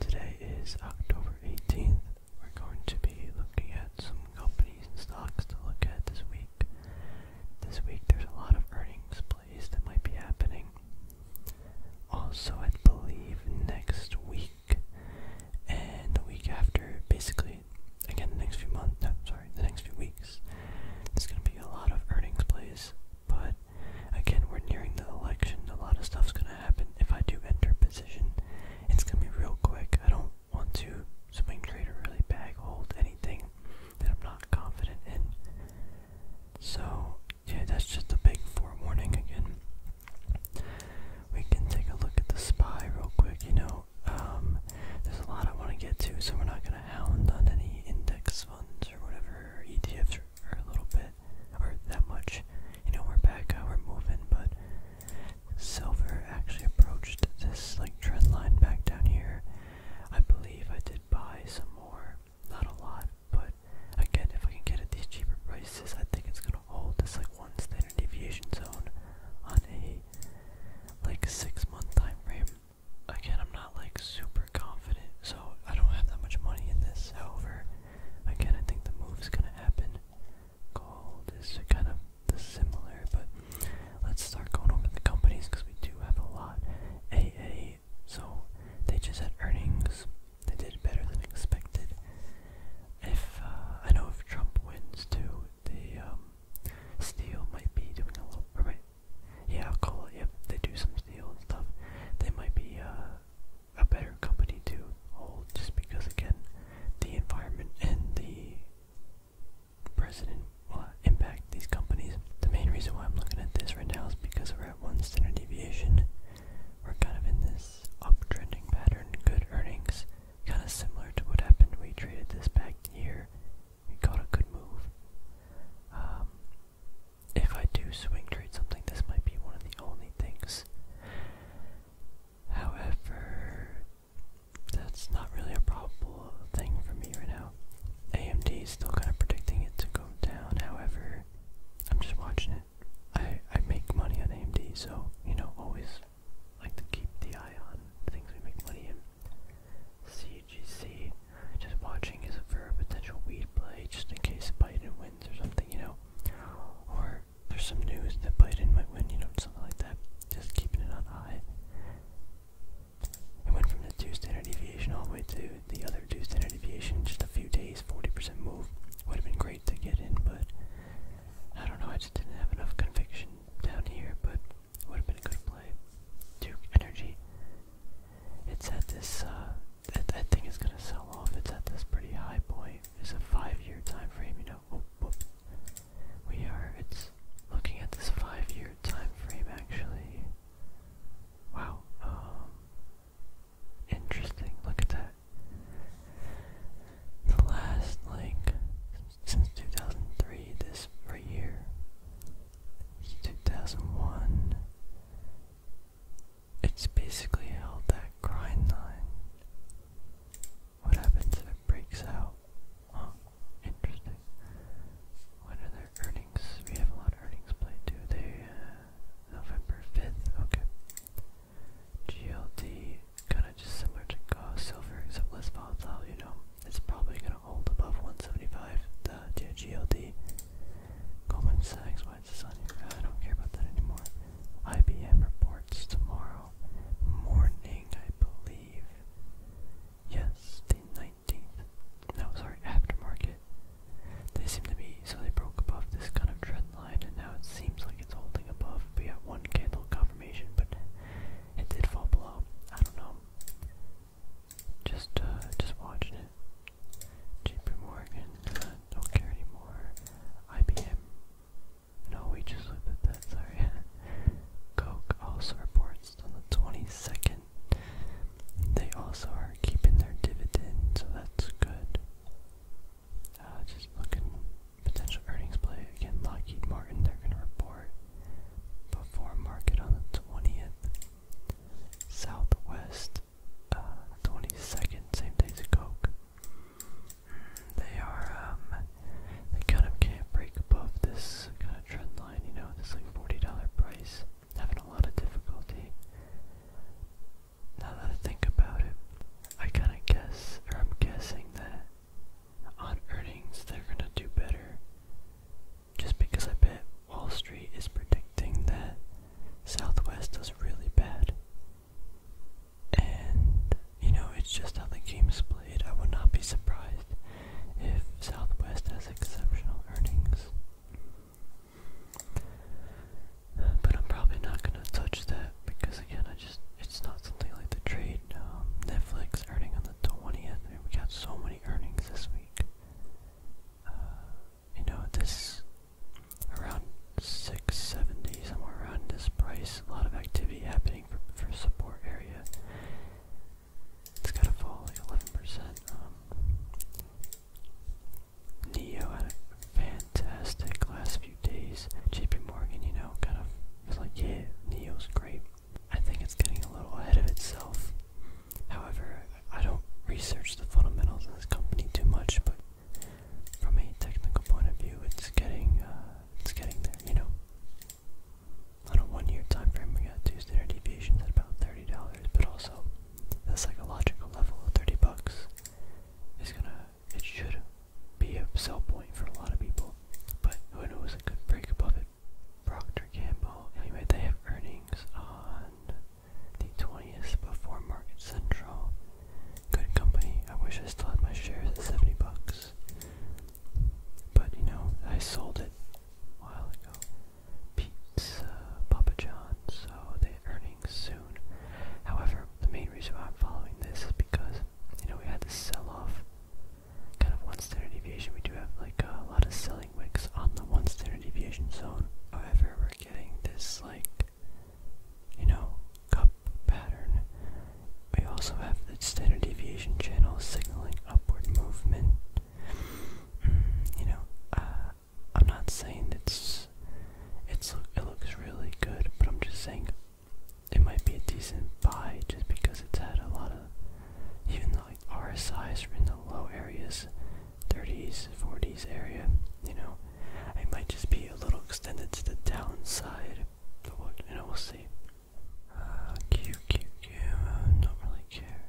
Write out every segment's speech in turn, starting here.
Today is October 18th. We're going to be looking at some companies and stocks to look at this week. This week there's a lot of earnings plays that might be happening. Also, I believe next week and the week after, basically, again, the next few months, no, sorry, the next few weeks, there's going to be a lot of earnings plays, but again, we're nearing the election. A lot of stuff's gonna happen. If I do enter position, it's gonna be real quick. I don't want to swing trade or really bag hold anything that I'm not confident in. So, yeah, that's just a big forewarning again. We can take a look at the spy real quick. You know, um, there's a lot I want to get to, so we're not gonna hound on any index funds or whatever, ETFs or or a little bit, or that much. You know, we're back, uh, we're moving, but silver actually approached this like trend line back down here. I believe I did buy some more, not a lot, but again, if I can get at these cheaper prices, I think it's gonna hold this like one standard deviation zone on a like six month time frame. Again, I'm not like super confident, so I don't have that much money in this. However, Again, I think the move's gonna happen. Gold is kind of the similar, but let's start going over the companies because we do have a lot. AA, so they just had earnings. They did better than expected. If uh, I know if Trump wins too, the um, steel might be doing a little. Or might, yeah, I'll call it. Yep, they do some steel and stuff. They might be uh, a better company to hold just because again the environment and the president will impact these companies. The main reason why I'm looking at this right now is because we're at one standard deviation. We're kind of in this uptrending pattern, good earnings, kind of similar to what happened. We traded this back here. We got a good move. Um, if I do swing trade something, this might be one of the only things. However, that's not really a probable thing for me right now. AMD is still kind of predicting it to go down, however, I'm just watching it. I, I make money on AMD, so, you know, always like to keep the eye on things we make money in. CGC just watching is for a potential weed play, just in case Biden wins or something, you know? Or there's some news that Biden might win, you know, something like that. Just keeping it on eye. It went from the two standard deviation all the way to the other two standard deviation, just a few days, 40% move. Would have been great to get in, but I don't know, I just didn't have enough conviction down here, but would have been a good play. Duke Energy. It's at this uh, that, thing is gonna sell off. It's at this pretty high point. It's a five-year time frame, you know. Oh, oh. We are. It's looking at this five-year time frame, actually. Wow. Um, interesting. Look at that. The last like since 2003, this year. 2001, it's basically held that grind line. What happens if it breaks out? Huh, interesting. What are their earnings? We have a lot of earnings played too. They, uh, November 5th, okay. GLD, kinda just similar to uh, silver, except less volatile, you know. It's probably gonna hold above 175, the GLD, Goldman Sachs, White Society, I don't care about that anymore. IBM reports tomorrow morning, I believe. Yes, the 19th. No, sorry, aftermarket. They seem to be, so they broke above this kind of trend line, and now it seems like it's holding above. We got one candle confirmation, but it did fall below. I don't know. Just, uh, just watching it. JP uh, don't care anymore. IBM. No, we just looked at that, sorry. Coke also reports on the 22nd. They also are keeping their dividend, so that's good. Uh, just looking potential earnings play again. Lockheed Martin, they're gonna report before market on the 20th. Southwest 22nd, uh, same days as Coke. Mm, they are, um, they kind of can't break above this kind of trend line, you know, this like $40 price. Having a lot of difficulty. Now that I think about it, I kind of guess, or I'm guessing that on earnings they're going to do better just because I bet Wall Street is predicting that Southwest does really bad. And, you know, it's just how the game is played. I would not be surprised if Southwest has exceptional earnings. But I'm probably not gonna touch that because again, I just it's not something like the trade. Um, Netflix earning on the 20th. We got so many earnings this week uh, you know, this around 670, somewhere around this price, a lot of activity happening for, for support area. It's gotta fall like 11%. Um, Neo had a fantastic last few days. JP Morgan, you know, kind of was like, yeah, Neo's great. I think it's getting a little ahead of itself. However, I don't research the fundamentals of this company too much, but from a technical point of view, it's getting uh, it's getting there. You know, on a one-year time frame, we got two standard deviations at about thirty dollars, but also the psychological level of thirty bucks is gonna it should be a sell point for a lot of people, but who knows? A good break above it Procter Gamble. Anyway, they have earnings on the 20th before Market Central. Good company. I wish I still had my shares at 70 bucks. But you know, I sold it a while ago. Pizza, Papa John, so they have earnings soon. However, the main reason why I'm following this is because, you know, we had this sell off kind of one standard deviation. We do have like a lot of selling wicks on the one standard deviation zone. However, we're getting this like, you know, cup pattern. We also have the standard deviation channel signaling upward movement. Mm, you know, uh, I'm not saying it's it's it looks really good, but I'm just saying it might be a decent buy just because it's had a lot of even like RSIs are in the low areas, 30s, 40s area, you know, it might just be a little extended to the downside, but you know, we'll see. Uh, Q, Q, Q, I uh, don't really care.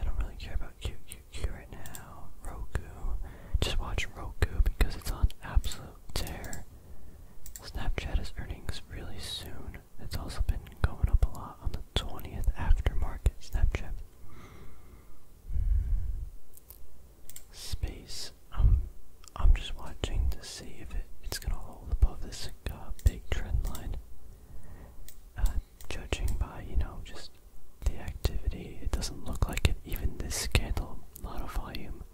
I don't really care about Q, Q, Q right now. Roku, just watch Roku because it's on absolute tear. Snapchat is earnings really soon. It's also been going up a lot on the 20th aftermarket Snapchat. Space. Um, I'm just watching to see if it, it's gonna hold above this uh, big trend line. Uh, judging by, you know, just the activity, it doesn't look like it. Even this candle, a lot of volume,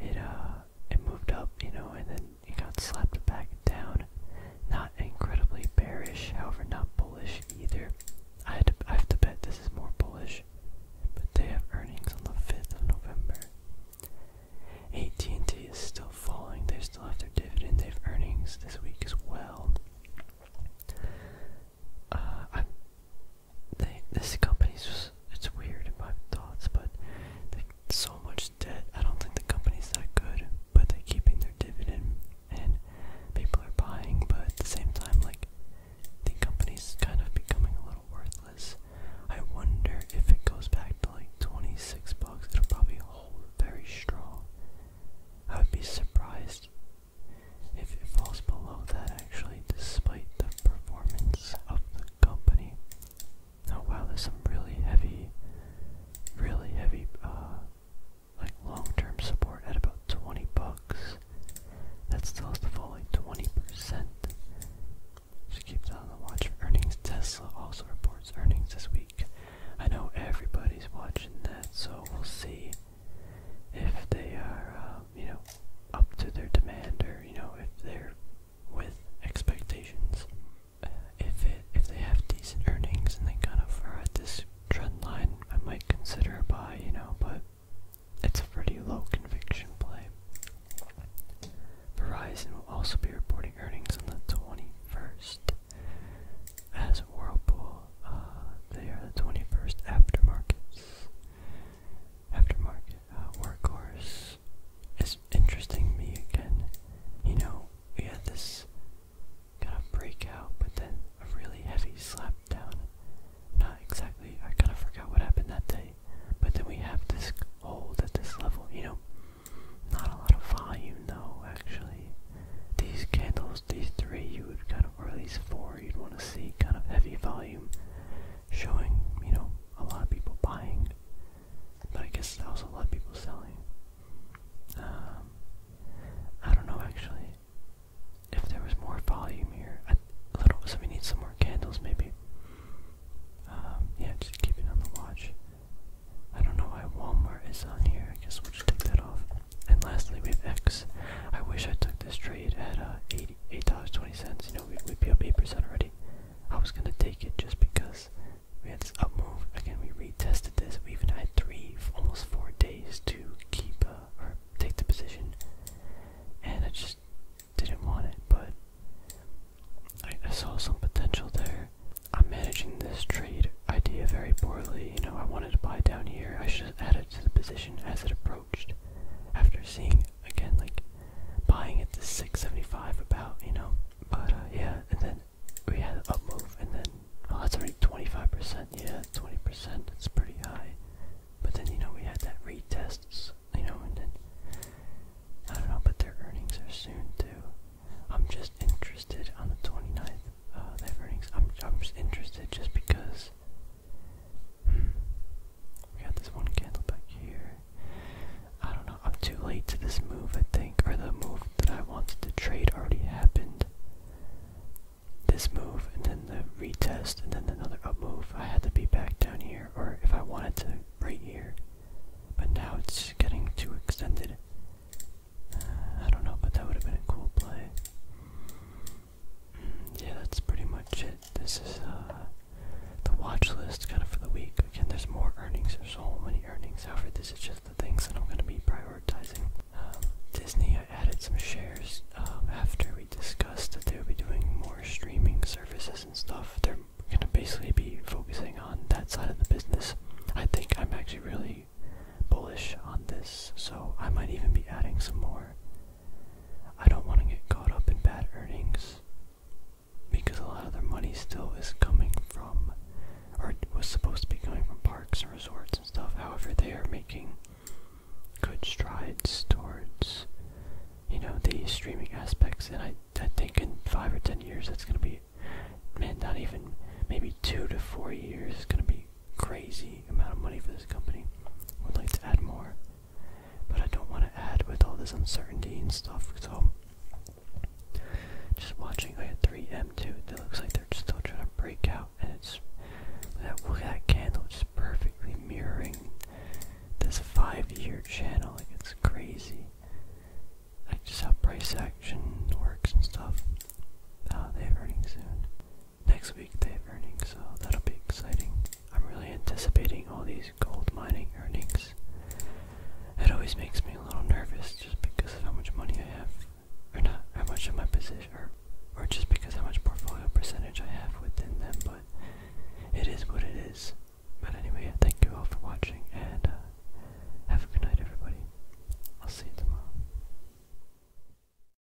it uh it moved up, you know, and then it got slapped back down. Not incredibly bearish, however, not bullish either. I had to, I have to bet this is more bullish, but they have earnings on the fifth of November. AT&T is still falling. They still have their dividend. They have earnings this week as well. Uh, I, this company's it's weird in my thoughts, but they so much debt. I don't think the company's that good, but they're keeping their dividend and people are buying, but at the same time, like the company's kind of becoming a little worthless. I wonder if it goes back to like 26 bucks, it'll probably hold very strong. I would be surprised if it falls below that actually, despite the performance of the company. Oh wow, there's some really heavy, really heavy, uh, like long-term support at about 20 bucks. That still has to fall like 20%. Just keep that on the watch for earnings. Tesla also reports earnings this week. I know everybody's watching that, so we'll see if they are, uh, you know, up to their demand or, you know, if they're with expectations. Uh, if it if they have decent earnings and they kind of are at this trend line, I might consider a buy, you know, but it's a pretty low conviction play. Verizon will also be reporting earnings on the 21st. As Whirlpool, uh, they are the 21st after markets. Aftermarket, uh, workhorse, is interesting me again. You know, we had this kind of breakout, but then a really heavy slap down. Not exactly. I kind of forgot what happened that day. But then we have this hold at this level. You know, not a lot of volume though. Actually, these candles, these three, you would kind of, or at least four, you'd want to see kind of heavy volume, showing you know a lot of people buying, but I guess also a lot of people selling. Um, I don't know actually if there was more volume here. I, a little, so we need some more candles maybe. Um, yeah, just keep it on the watch. I don't know why Walmart is on here. I guess we'll take that off. And lastly, we have X. I wish I took this trade at uh, 80 eight dollars twenty cents. You know, we would be up eight percent already. I was gonna take it just because we had this up move. Again, we retested this. We even had three, almost four days to keep uh, or take the position, and I just didn't want it. But I, I saw some potential there. I'm managing this trade idea very poorly. You know, I wanted to buy down here. I should have added to the position as it approached. After seeing again, like buying at the 675 about, you know. But uh, yeah, and then we had up move, and then oh, that's already 25%. Yeah, 20%. That's pretty high. But then you know we had that retest, you know, and then I don't know. But their earnings are soon too. I'm just interested on the 29th. Uh, they have earnings. I'm I'm just interested just because we got this one candle back here. I don't know. I'm too late to this move, I think. Or the move that I wanted to trade already happened. This move, and then the retest, and then another up move. I had to be back down here, or if I wanted to, right here. But now it's getting too extended. Uh, I don't know, but that would have been a cool play yeah, that's pretty much it. This is uh, the watch list kind of for the week. Again, there's more earnings. There's so many earnings. However, this is just the things that I'm going to be prioritizing. Um, Disney, I added some shares um, after we discussed that they would be doing more streaming services and stuff. They're going to basically be focusing on that side of the business. I think I'm actually really bullish on this, so I might even be adding some more I don't want to get caught up in bad earnings because a lot of their money still is coming from, or was supposed to be coming from parks and resorts and stuff. However, they are making good strides towards, you know, the streaming aspects. And I, I think in five or ten years, that's going to be, man, not even maybe two to four years, it's going to be crazy amount of money for this company. I would like to add more, but I don't want to add with all this uncertainty and stuff. So, just watching, I had 3M2. It looks like they're just still trying to break out, and it's that look at that candle, just perfectly mirroring this five-year channel. Like it's crazy. Like just how price action works and stuff. Uh, they have earnings soon next week they have earnings, so that'll be exciting. I'm really anticipating all these gold mining earnings. It always makes me a little nervous just because of how much money I have, or not how much of my position, or, or just because how much portfolio percentage I have within them, but it is what it is. But anyway, thank you all for watching, and uh, have a good night, everybody. I'll see you tomorrow.